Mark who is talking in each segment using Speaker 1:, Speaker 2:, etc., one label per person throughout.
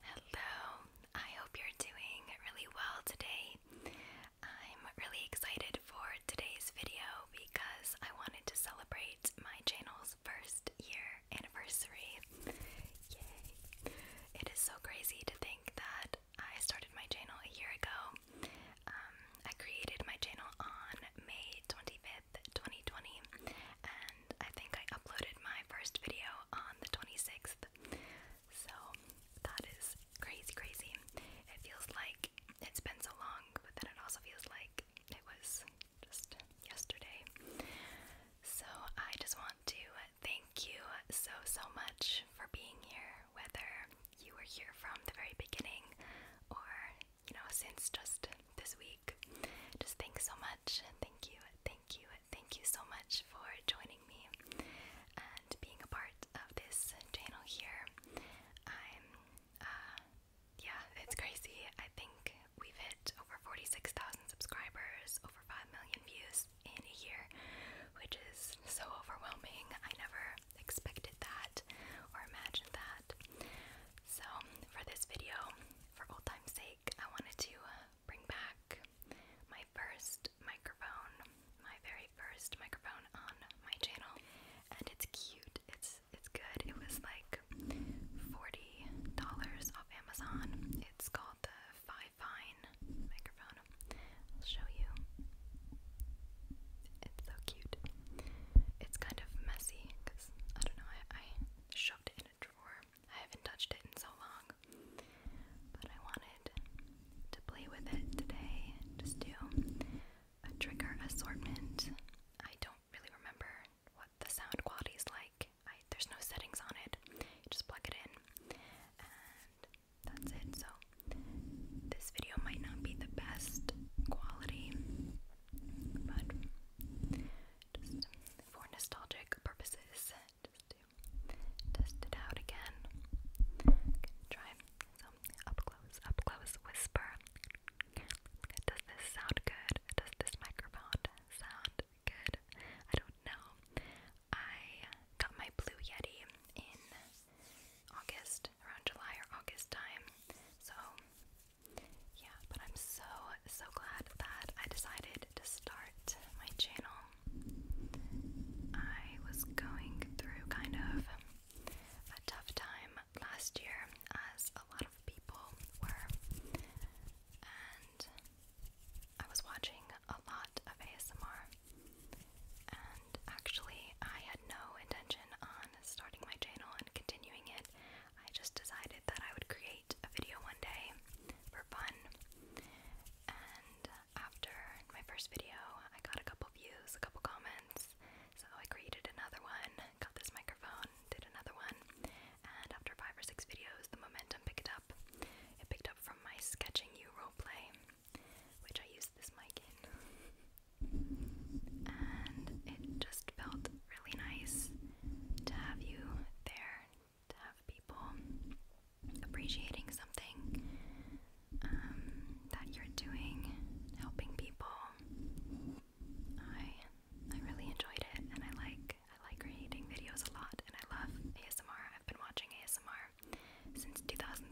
Speaker 1: Hello, I hope you're doing really well today. I'm really excited for today's video because I wanted to celebrate my channel's first year anniversary. It is so crazy to think that I started my channel a year ago. Um, I created my channel on May 25th, 2020, and I think I uploaded my first video on the 26th. So that is crazy, crazy. It feels like it's been so long, but then it also feels like it was just yesterday. So I just want to thank you so, so much for being here, whether you were here from the very beginning or you know, since just this week. Just thanks so much. Thank you, thank you, thank you so much for joining me and being a part of this channel here. I'm, uh, yeah, it's crazy. I think we've hit over 46,000 subscribers, over 5 million views in a year, which is so overwhelming. I never expected that or imagined that. So, for this video, for old time's sake, I wanted to uh, bring back my first microphone, my very first microphone on my channel, and it's cute. It's it's good. It was like forty dollars off Amazon. It's called the Five Fine microphone. I'll show you. It's so cute. It's kind of messy because I don't know. I, shoved in a drawer. I haven't touched it in so long. But I wanted to play with it today. Just do a trigger assortment. I don't really remember what the sound quality is like. there's no settings on it. just plug it in, and that's it. So this video might not be the best quality, but just for nostalgic purposes, just to test it out again. try some up close, up close whisper. Does this sound good? Does this microphone sound good? I don't know. I got my Blue Yeti in August, around July or August time, so yeah, but I'm so, so glad that I decided to start my channel. I was going through kind of a tough time last year, as a lot of people were, and I was watching a lot of ASMR. And actually, I had no intention on starting my channel and continuing it. I just decided that I would create a video one day for fun. And after my first video, I got a couple views, a couple comments. So I created another one, got this microphone, did another one, and after five or six videos, the momentum picked up. It picked up from my Sketching You play, which I used this mic in. And it just felt really nice to have you there, to have people appreciating something um, that you're doing, helping people. I I really enjoyed it, and I like I like creating videos a lot, and I love ASMR. I've been watching ASMR since 2013,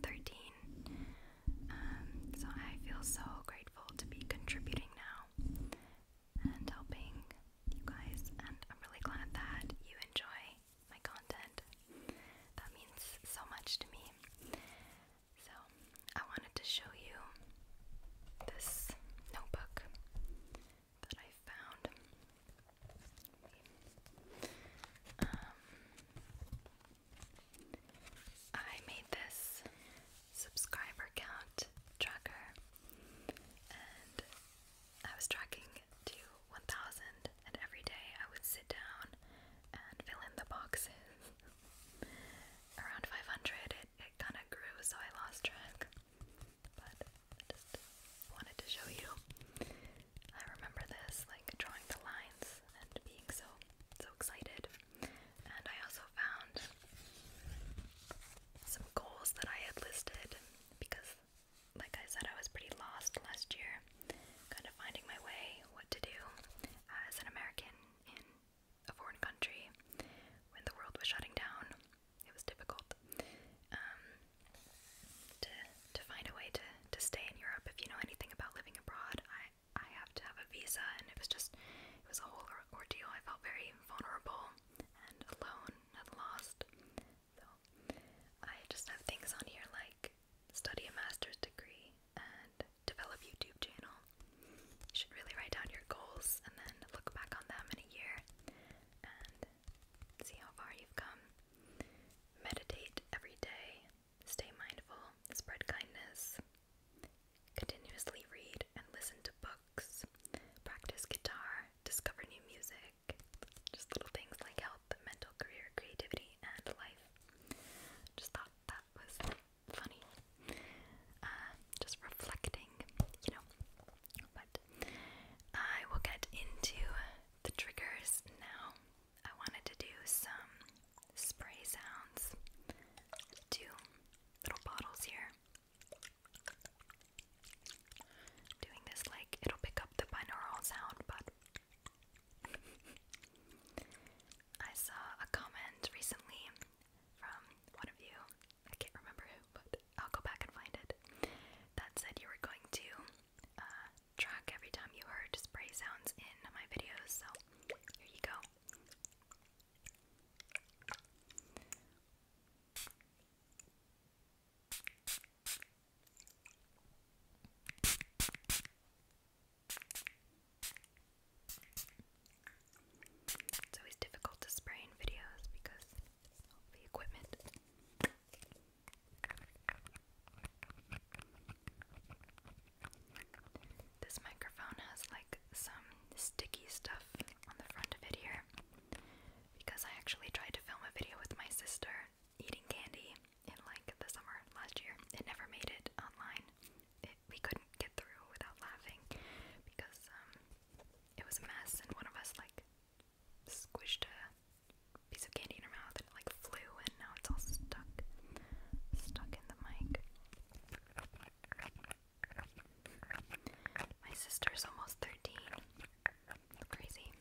Speaker 1: um, so I feel so grateful to be contributing now and helping you guys. And I'm really glad that you enjoy my content. That means so much to me. So, I wanted to show you this notebook that I found. Um, I made this subscriber count tracker, and I was tracking to 1,000, and every day I would sit down and fill in the boxes. Around 500, it, it kind of grew, so I lost track. But I just wanted to show you. I remember this, like drawing the lines and being so so excited. And I also found some goals that I had listed because, like I said, I was pretty lost last year, kind of finding my way, what to do as an American in a foreign country when the world was shutting down. It was difficult um, to to find a way to to stay in Europe. If you know anything about living abroad, I I have to have a visa, and it was just it was a whole ordeal. I felt very vulnerable and alone and lost. So I just have things on here like study a master's degree and develop YouTube channel. You should really write down your goals and then look back on them in a year and see how far you've come. Meditate every day. Stay mindful. Spread kindness. Continuously read and listen to books, practice guitar, discover new music, just little things like health, mental, career, creativity, and life. Just thought that was funny. Uh, just reflecting, you know. But I will get into the triggers now. I wanted to do some spray sounds. Two little bottles here. Doing this like it'll pick up the binaural sound, but I saw a comment recently from one of you. I can't remember who, but I'll go back and find it. That said, you were going to uh, track every time you heard spray sounds in my videos, so here you go. It's always difficult to spray in videos because of the equipment. This microphone has like some sticky stuff on the front of it here because I actually tried to film a video with my sister eating candy in like the summer last year. It never made it online. It, we couldn't get through without laughing because um, it was a mess and one of us like squished a piece of candy in her mouth and it like flew and now it's all stuck stuck in the mic. My sister's almost 13. Crazy.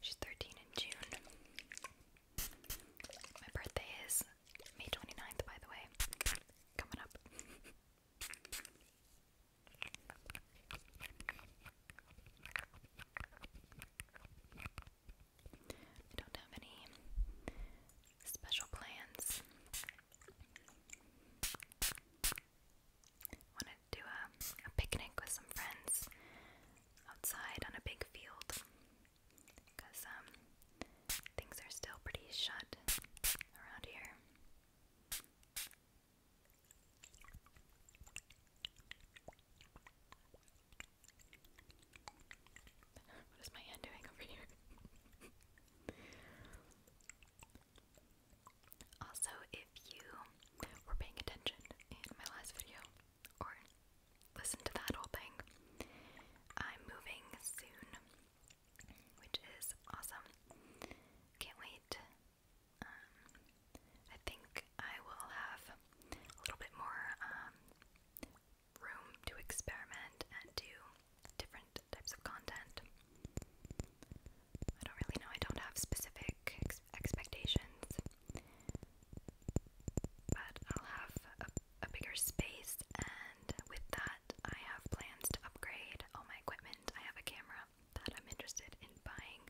Speaker 1: She's 13 in June. My birthday is May 29th, by the way. Coming up. don't have any special plans. Wanted to do a picnic with some friends outside on a big field because um, things are still pretty shut around here. What is my hand doing over here? also, if you were paying attention in my last video or listened to that whole thing, I'm moving soon, which is awesome. Can't wait. Um, I think I will have a little bit more um, room to experiment and do different types of content. I don't really know, I don't have specific expectations, but I'll have a, a bigger space, and with that, I have plans to upgrade all my equipment. I have a camera that I'm interested in buying.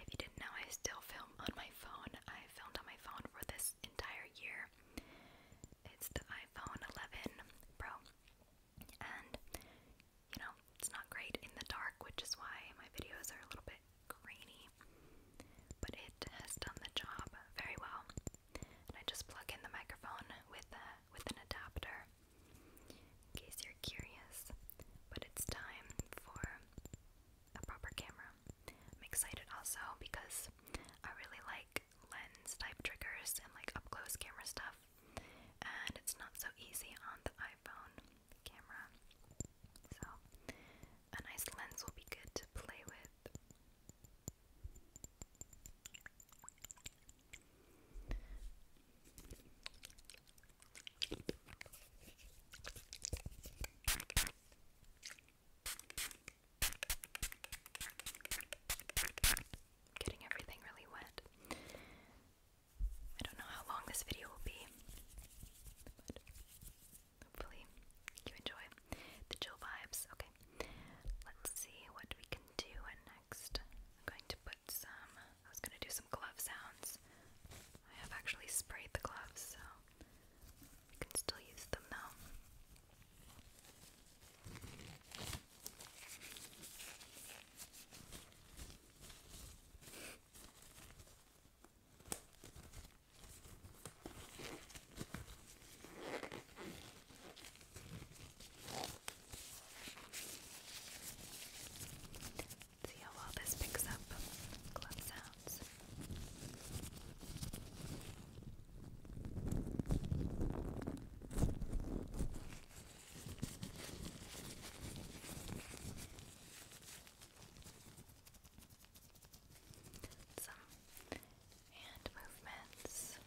Speaker 1: If you didn't know, I still film on my phone. I filmed on my phone for this entire year. It's the iPhone 11 Pro. And, you know, it's not great in the dark, which is why my videos are a little bit grainy. But it has done the job very well. I just plug in the microphone with, with an adapter, in case you're curious. But it's time for a proper camera. I'm excited also because I really like lens type triggers and like up close camera stuff, and it's not so easy on the iPhone camera. So, a nice lens will be good to play with. Getting everything really wet. I don't know how long this video will be, hopefully you enjoy the chill vibes. Okay, let's see what we can do next. I'm going to put some, I was going to do some glove sounds. I have actually sprayed the gloves, so I can still use them though. See how well this picks up gloves out sounds. Some hand movements. Good.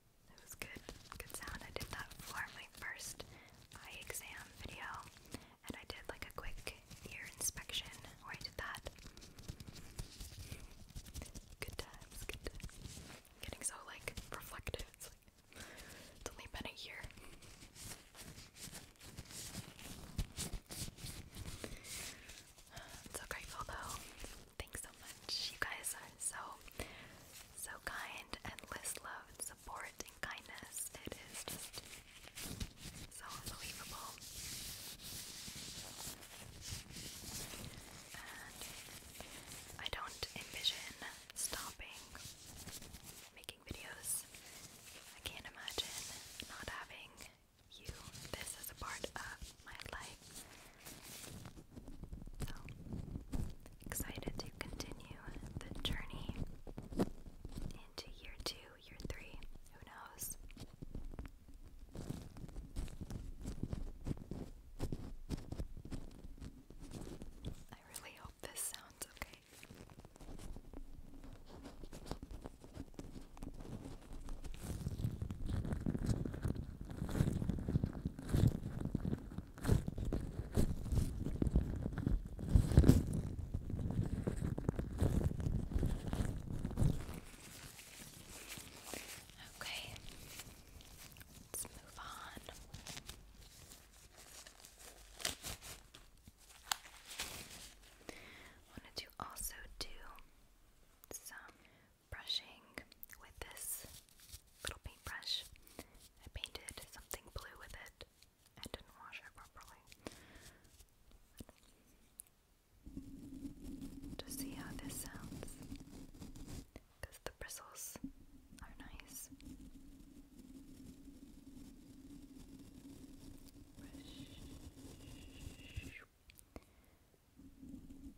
Speaker 1: That was good, good sound. I did that for my first eye exam video, and I did like a quick ear inspection where I did that. Good times, good times. Getting so like reflective. It's only been a year. i so grateful though. Thanks so much. You guys so so kind, endless love support and kindness. It is just so unbelievable. And I don't envision stopping making videos. I can't imagine not having you. This is a part of my life. So, excited to continue the journey into year two, year three, who knows? I really hope this sounds okay. Okay, let's move on. Wanted to also do some brushing with this little paintbrush. I painted something blue with it. I didn't wash it properly. To see how this sounds, because the bristles are nice.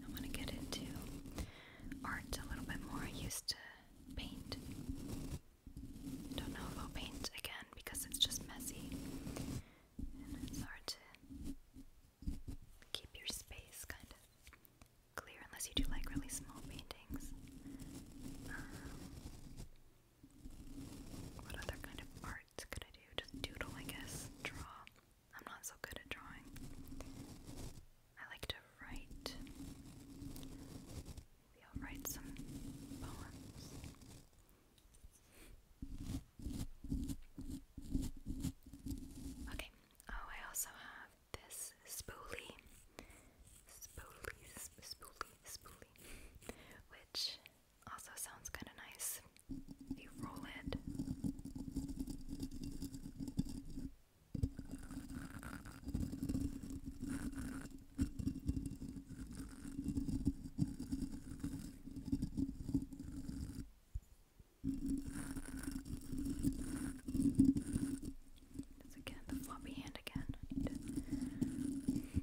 Speaker 1: I want to get into art a little bit more. I used to paint. Don't know if I'll paint again because it's just messy and it's hard to keep your space kind of clear unless you do like really small paintings. Um, what other kind of art could I do? Just doodle, I guess. Draw. I'm not so good at drawing. I like to write. Maybe I'll write some poems. Okay, oh, I also have this spoolie, spoolie, sp spoolie, which also sounds kind of nice. You roll it. That's again the floppy hand again. I need it.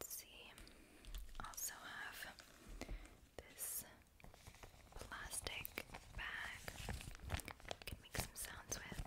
Speaker 1: Let's see. Also have this plastic bag. can make some sounds with.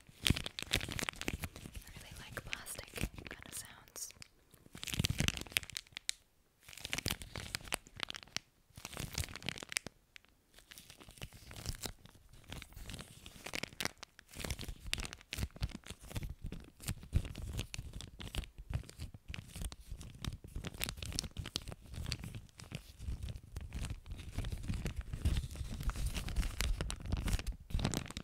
Speaker 1: I really like plastic kind of sounds.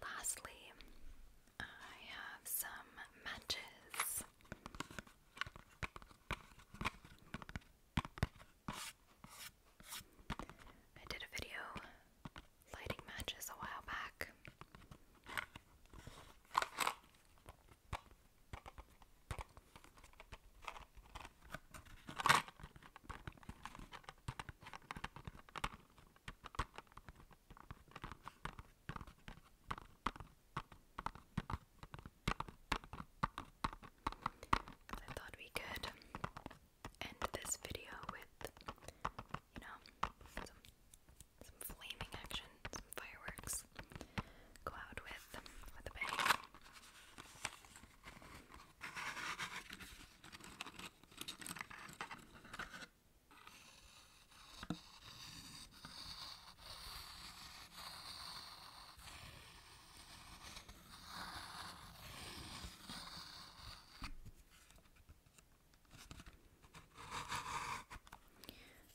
Speaker 1: Lastly, I have some matches. I did a video lighting matches a while back. I thought we could end this video with, you know, some flaming action, some fireworks. Go with with a bang.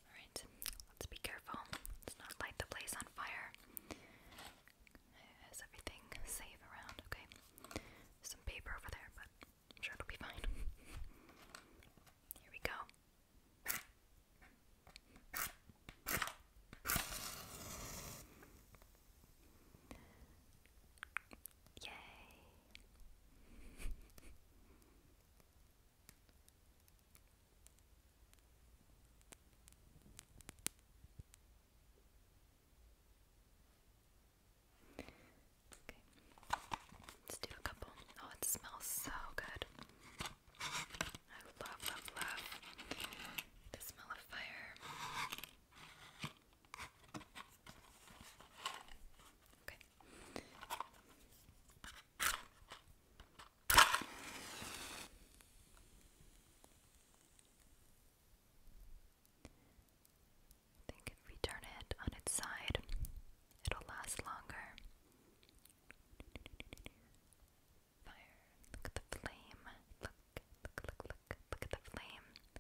Speaker 1: Alright, let's be careful. Let's not light the place on fire. Is everything safe around? Okay some paper over there, but I'm sure it'll be fine. Here we go. Yay. Let's do a couple. Oh, it smells so good. I love, love, love the smell of fire. Okay. I think if we turn it on its side, it'll last longer. Fire. Look at the flame. Look, look, look, look. Look at the flame.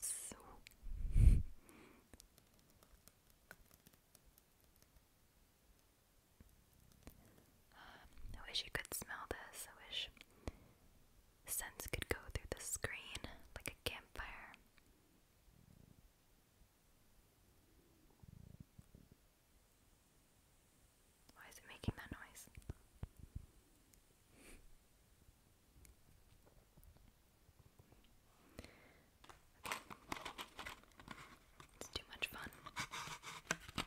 Speaker 1: So. Um, I wish you could smell this. I wish scents could go through the screen like a campfire. Why is it making that noise? It's too much fun.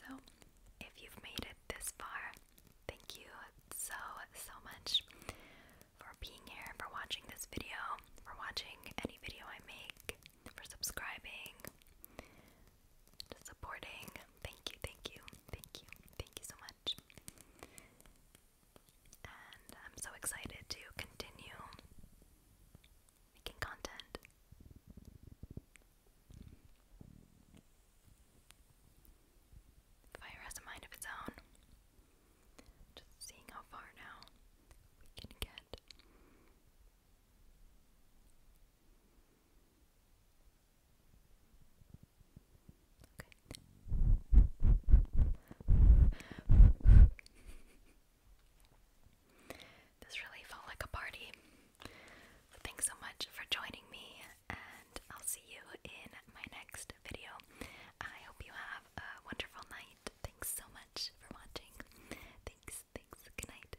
Speaker 1: So, if you've made it this far, thank you so, so much for being here, for watching this video, for watching any video I make, for subscribing, to supporting. Thank you, thank you, thank you, thank you so much. And I'm so excited to continue making content. Fire has a mind of its own. Just seeing how far now we can get. Okay. This really felt like a party. thanks so much for joining me, and I'll see you in my next video. I hope you have a wonderful night. Thanks so much for watching. Thanks, thanks, good night.